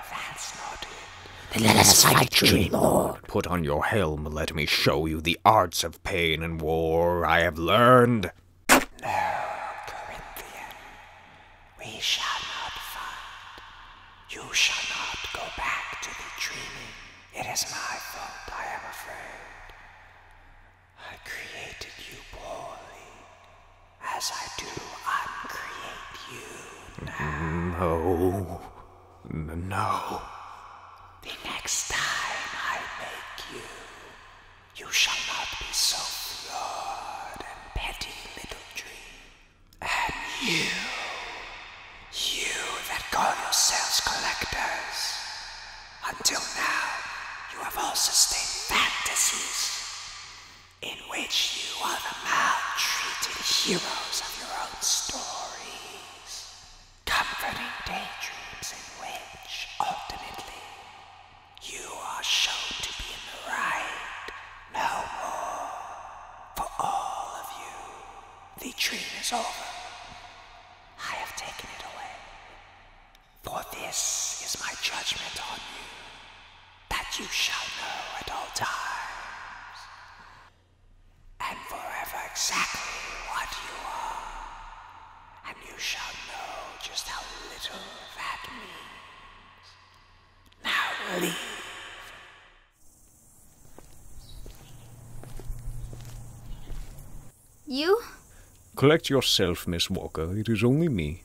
that's not it. Then
let us fight,
dream lord. Put on your helm let me show you the arts of pain and war I have learned. No, Corinthian. We shall not
fight. You shall not go back to the dreaming. It is my fault, I am afraid. I created you poorly. As I do,
uncreate you No. No. The next time
I make you, you shall not be so flawed and petty, little And you, you that call yourselves collectors, until now, you have all sustained fantasies in which you are the maltreated heroes of your own stories, comforting daydreams in which, ultimately, you are shown to be in the right, no more. For all of you, the dream is over. I have taken it away. For this is my judgment on you that you shall know at all times, and forever exactly what you are, and you shall know just how little that means. Now leave.
You?
Collect yourself, Miss Walker. It is only me.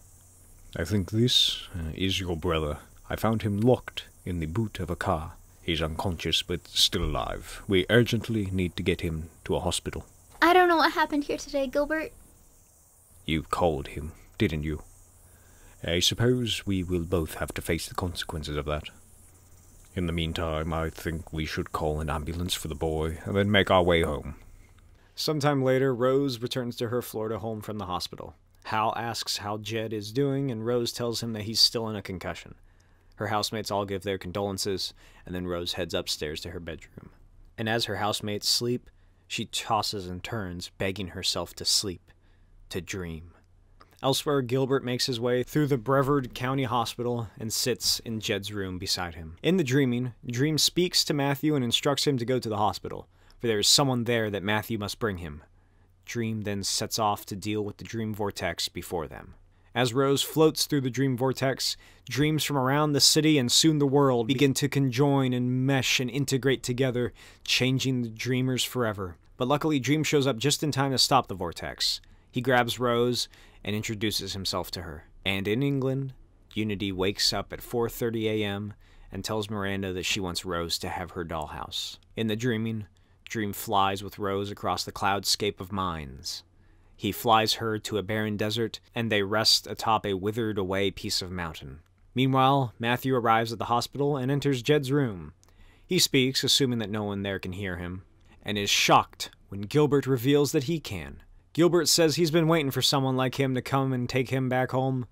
I think this uh, is your brother. I found him locked in the boot of a car. He's unconscious, but still alive. We urgently need to get him to a hospital.
I don't know what happened here today, Gilbert.
You called him, didn't you? I suppose we will both have to face the consequences of that. In the meantime, I think we should call an ambulance for the boy and then make our way home. Sometime later, Rose returns to her Florida home from the hospital. Hal asks how Jed is doing, and Rose tells him that he's still in a concussion. Her housemates all give their condolences, and then Rose heads upstairs to her bedroom. And as her housemates sleep, she tosses and turns, begging herself to sleep, to dream. Elsewhere, Gilbert makes his way through the Brevard County Hospital and sits in Jed's room beside him. In the dreaming, Dream speaks to Matthew and instructs him to go to the hospital for there is someone there that Matthew must bring him. Dream then sets off to deal with the dream vortex before them. As Rose floats through the dream vortex, dreams from around the city and soon the world begin to conjoin and mesh and integrate together, changing the dreamers forever. But luckily, Dream shows up just in time to stop the vortex. He grabs Rose and introduces himself to her. And in England, Unity wakes up at 4:30 a.m and tells Miranda that she wants Rose to have her dollhouse. In the dreaming, Dream flies with Rose across the cloudscape of mines. He flies her to a barren desert, and they rest atop a withered away piece of mountain. Meanwhile, Matthew arrives at the hospital and enters Jed's room. He speaks, assuming that no one there can hear him, and is shocked when Gilbert reveals that he can. Gilbert says he's been waiting for someone like him to come and take him back home,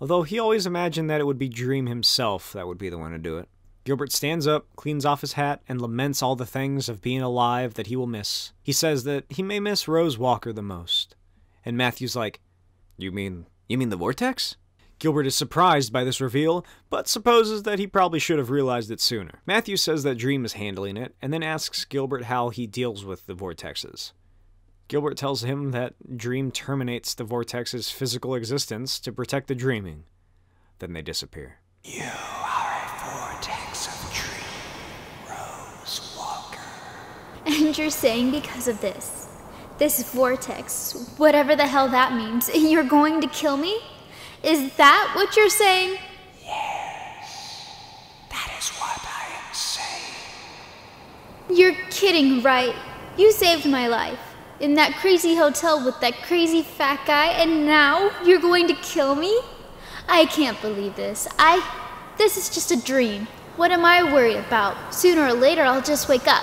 Although he always imagined that it would be Dream himself that would be the one to do it. Gilbert stands up, cleans off his hat, and laments all the things of being alive that he will miss. He says that he may miss Rose Walker the most. And Matthew's like, You mean, you mean the vortex? Gilbert is surprised by this reveal, but supposes that he probably should have realized it sooner. Matthew says that Dream is handling it, and then asks Gilbert how he deals with the vortexes. Gilbert tells him that Dream terminates the vortex's physical existence to protect the dreaming. Then they disappear. You are a vortex
of dream, Rose Walker. And you're saying because of this, this vortex, whatever the hell that means, you're going to kill me? Is that what you're saying? Yes.
That is what I am saying.
You're kidding, right? You saved my life. In that crazy hotel with that crazy fat guy, and now you're going to kill me? I can't believe this. I. This is just a dream. What am I worried about? Sooner or later, I'll just wake up.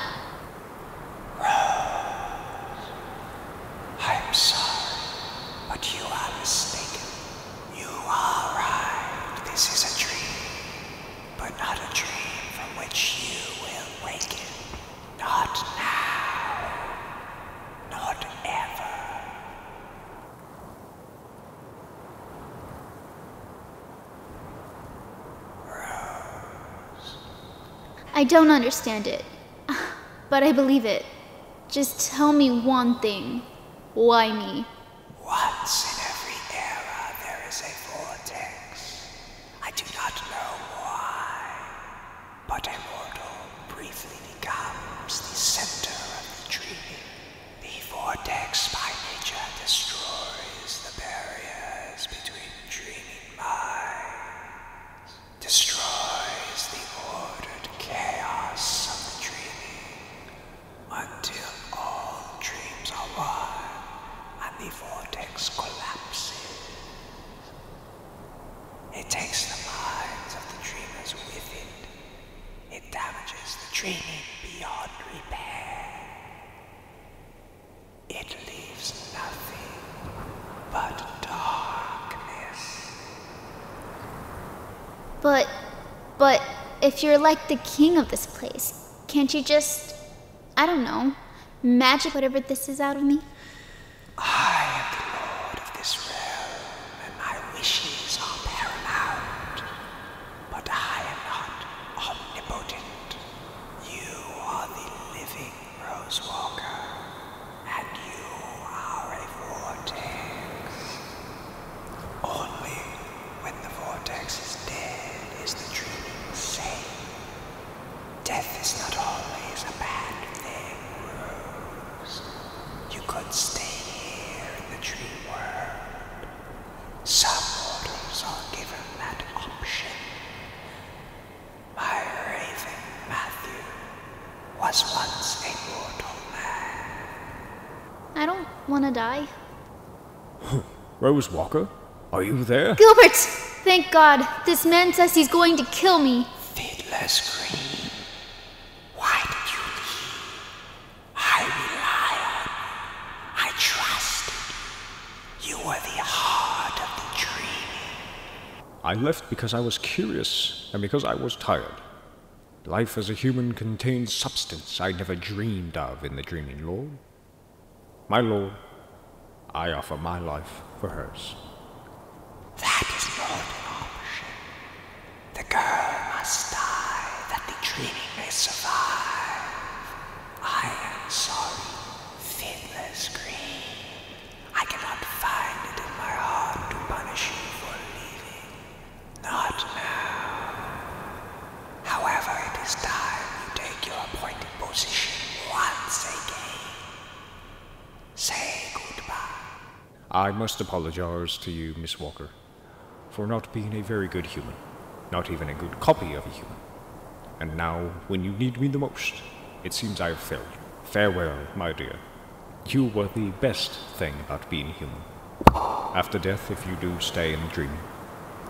I'm sorry, but you are mistaken. You are right. This is a dream but not a dream from which you will waken. Not now, not ever.
Rose. I don't understand it, but I believe it. Just tell me one thing. Why me?
Once in every era there is a vortex. I do not know why, but a mortal briefly becomes the center of the dream. The vortex by nature destroys the barriers between dreaming minds, destroys the ordered chaos of the dream until all dreams are wide and the vortex collapses. It takes the minds of the dreamers with it. It damages the dreaming beyond repair. It leaves nothing but darkness.
But, but, if you're like the king of this place, can't you just, I don't know, magic whatever this is out of me?
I am the lord of this realm, and my wishes are paramount. But I am not omnipotent. You are the living Rosewalker, and you are a vortex. Only when the vortex is dead is the dreaming safe. Death is not always a bad thing, Rose. You could stay here in the dream world. Some mortals are given that option. My raven Matthew
was once a mortal man. I don't want to die.
Rose Walker, are you there?
Gilbert! Thank God. This man says he's going to kill me. Fiddler's Why did you leave? I
rely on you. I trusted you. You were the heart of the
dream. I left because I was curious and because I was tired. Life as a human contains substance I never dreamed of in the Dreaming Lord. My Lord,
I offer my life for hers. That is not
an option. The girl must die that the dream may survive. I am sorry, Fiddler's Green. I cannot find it in my heart to punish you for leaving. Not now. However, it is time you take your appointed position once again. Say goodbye.
I must apologize to you, Miss Walker, for not being a very good human, not even a good copy of a human. And now, when you need me the most, it seems I have failed you. Farewell, my dear. You were the best thing about being human. After death, if you do stay in the dream,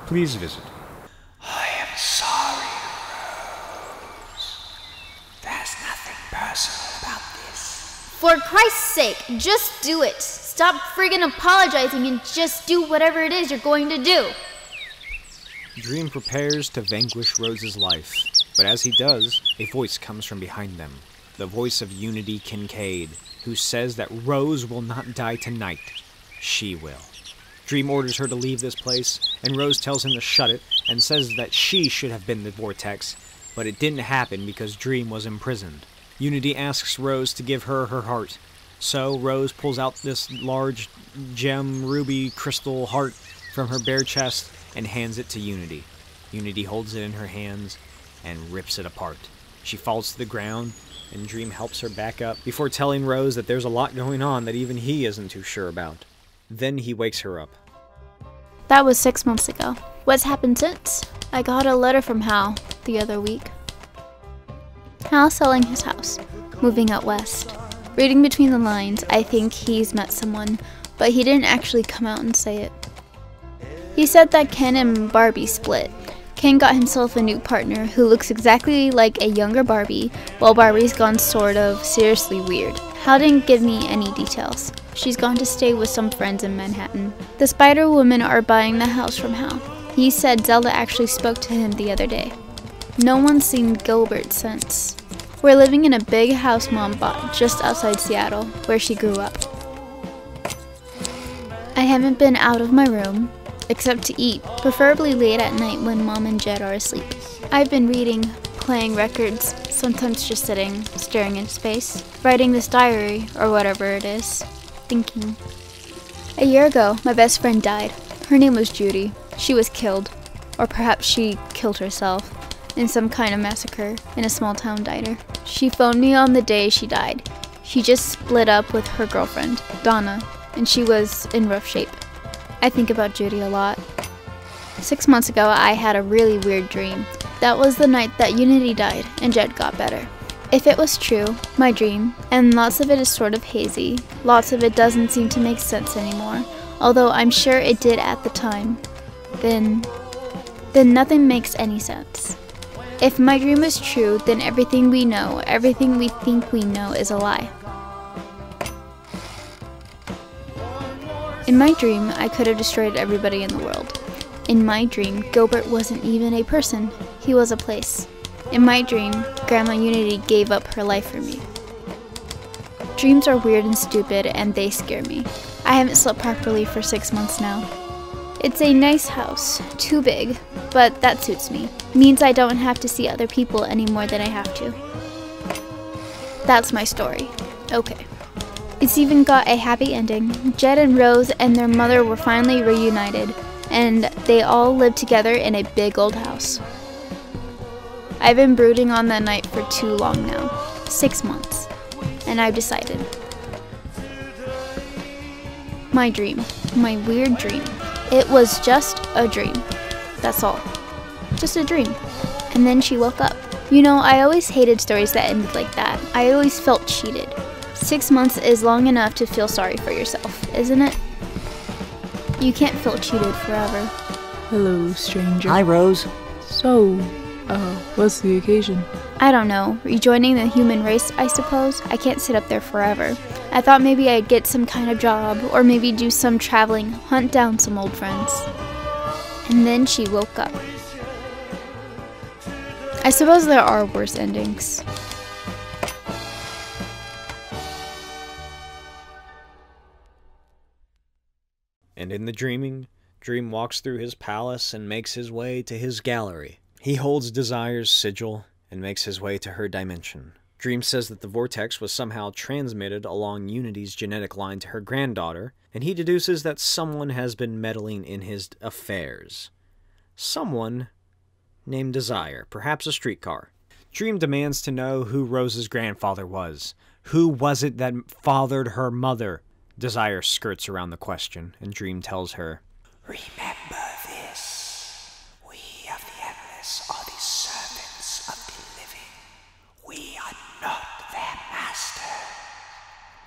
Please visit. I am sorry,
Rose. There's nothing personal about
this. For Christ's sake, just do it. Stop friggin' apologizing and just do whatever it is you're going to do.
Dream prepares to vanquish Rose's life, but as he does, a voice comes from behind them the voice of Unity Kincaid, who says that Rose will not die tonight. She will. Dream orders her to leave this place, and Rose tells him to shut it and says that she should have been the vortex, but it didn't happen because Dream was imprisoned. Unity asks Rose to give her her heart. So Rose pulls out this large gem ruby crystal heart from her bare chest and hands it to Unity. Unity holds it in her hands and rips it apart. She falls to the ground, and Dream helps her back up before telling Rose that there's a lot going on that even he isn't too sure about. Then he wakes her up.
That was six months ago. What's happened since? I got a letter from Hal the other week. Hal selling his house, moving out west. Reading between the lines, I think he's met someone, but he didn't actually come out and say it. He said that Ken and Barbie split, Ken got himself a new partner who looks exactly like a younger Barbie, while Barbie's gone sort of seriously weird. Hal didn't give me any details. She's gone to stay with some friends in Manhattan. The Spider Women are buying the house from Hal. He said Zelda actually spoke to him the other day. No one's seen Gilbert since. We're living in a big house mom bought just outside Seattle, where she grew up. I haven't been out of my room, except to eat, preferably late at night when mom and Jed are asleep. I've been reading, playing records, sometimes just sitting, staring in space, writing this diary, or whatever it is, thinking. A year ago, my best friend died. Her name was Judy. She was killed, or perhaps she killed herself, in some kind of massacre in a small town diner. She phoned me on the day she died. She just split up with her girlfriend, Donna, and she was in rough shape. I think about Judy a lot. Six months ago, I had a really weird dream. That was the night that Unity died and Jed got better. If it was true, my dream, and lots of it is sort of hazy, lots of it doesn't seem to make sense anymore, although I'm sure it did at the time, then, then nothing makes any sense. If my dream is true, then everything we know, everything we think we know is a lie. In my dream, I could have destroyed everybody in the world. In my dream, Gilbert wasn't even a person, he was a place. In my dream, Grandma Unity gave up her life for me. Dreams are weird and stupid, and they scare me. I haven't slept properly for six months now. It's a nice house, too big, but that suits me. Means I don't have to see other people any more than I have to. That's my story. Okay. It's even got a happy ending. Jed and Rose and their mother were finally reunited, and they all lived together in a big old house. I've been brooding on that night for too long now six months, and I've decided my dream. My weird dream. It was just a dream. That's all. Just a dream. And then she woke up. You know, I always hated stories that ended like that. I always felt cheated. Six months is long enough to feel sorry for yourself, isn't it? You can't feel cheated forever.
Hello, stranger. Hi,
Rose. So, uh, what's the occasion? I don't know. Rejoining the human race, I suppose. I can't sit up there forever. I thought maybe I'd get some kind of job, or maybe do some traveling, hunt down some old friends. And then she woke up. I suppose there are worse endings.
And in the dreaming, Dream walks through his palace and makes his way to his gallery. He holds Desire's sigil and makes his way to her dimension. Dream says that the vortex was somehow transmitted along Unity's genetic line to her granddaughter, and he deduces that someone has been meddling in his affairs. Someone named Desire, perhaps a streetcar. Dream demands to know who Rose's grandfather was. Who was it that fathered her mother? Desire skirts around the question, and Dream tells her.
Remember this. We of the Endless are the servants of the living. We are not their master.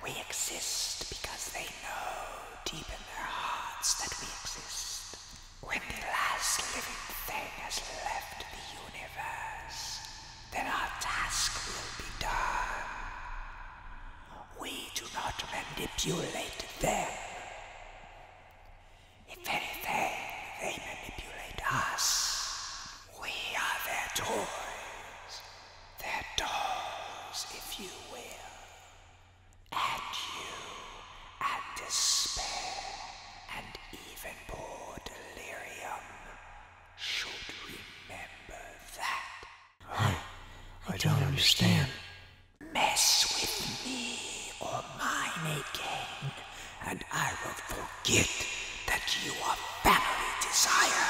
We exist because they know deep in their hearts that we exist. When the last living thing has left the universe, then our task will be done. We do not manipulate them. If anything, they manipulate us. We are their toys, their dolls, if you will. And you, and despair, and even poor delirium, should remember that. I, I don't understand. Mess with me or mine again, and I will forget that you are family desire.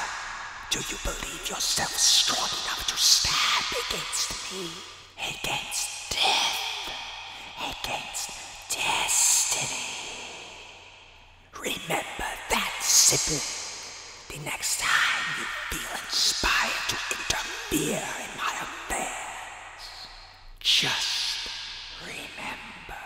Do you believe yourself strong enough to stand against me? Against death? Against destiny? Remember that, simple. The next time you feel inspired to interfere in my just
remember.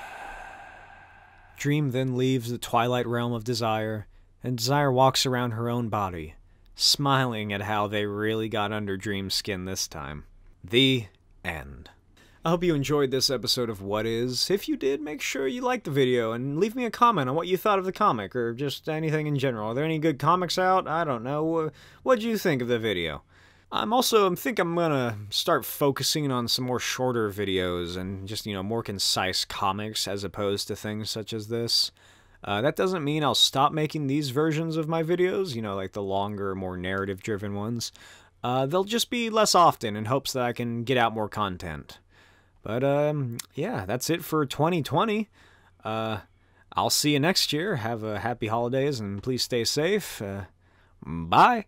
Dream then leaves the twilight realm of Desire, and Desire walks around her own body, smiling at how they really got under Dream's skin this time. The end. I hope you enjoyed this episode of What Is. If you did, make sure you like the video and leave me a comment on what you thought of the comic or just anything in general. Are there any good comics out? I don't know what do you think of the video? I'm also I think I'm gonna start focusing on some more shorter videos and just you know more concise comics as opposed to things such as this. Uh, that doesn't mean I'll stop making these versions of my videos, you know, like the longer, more narrative-driven ones. Uh, they'll just be less often in hopes that I can get out more content. But um, yeah, that's it for 2020. I'll see you next year. Have a happy holidays and please stay safe. Uh, bye.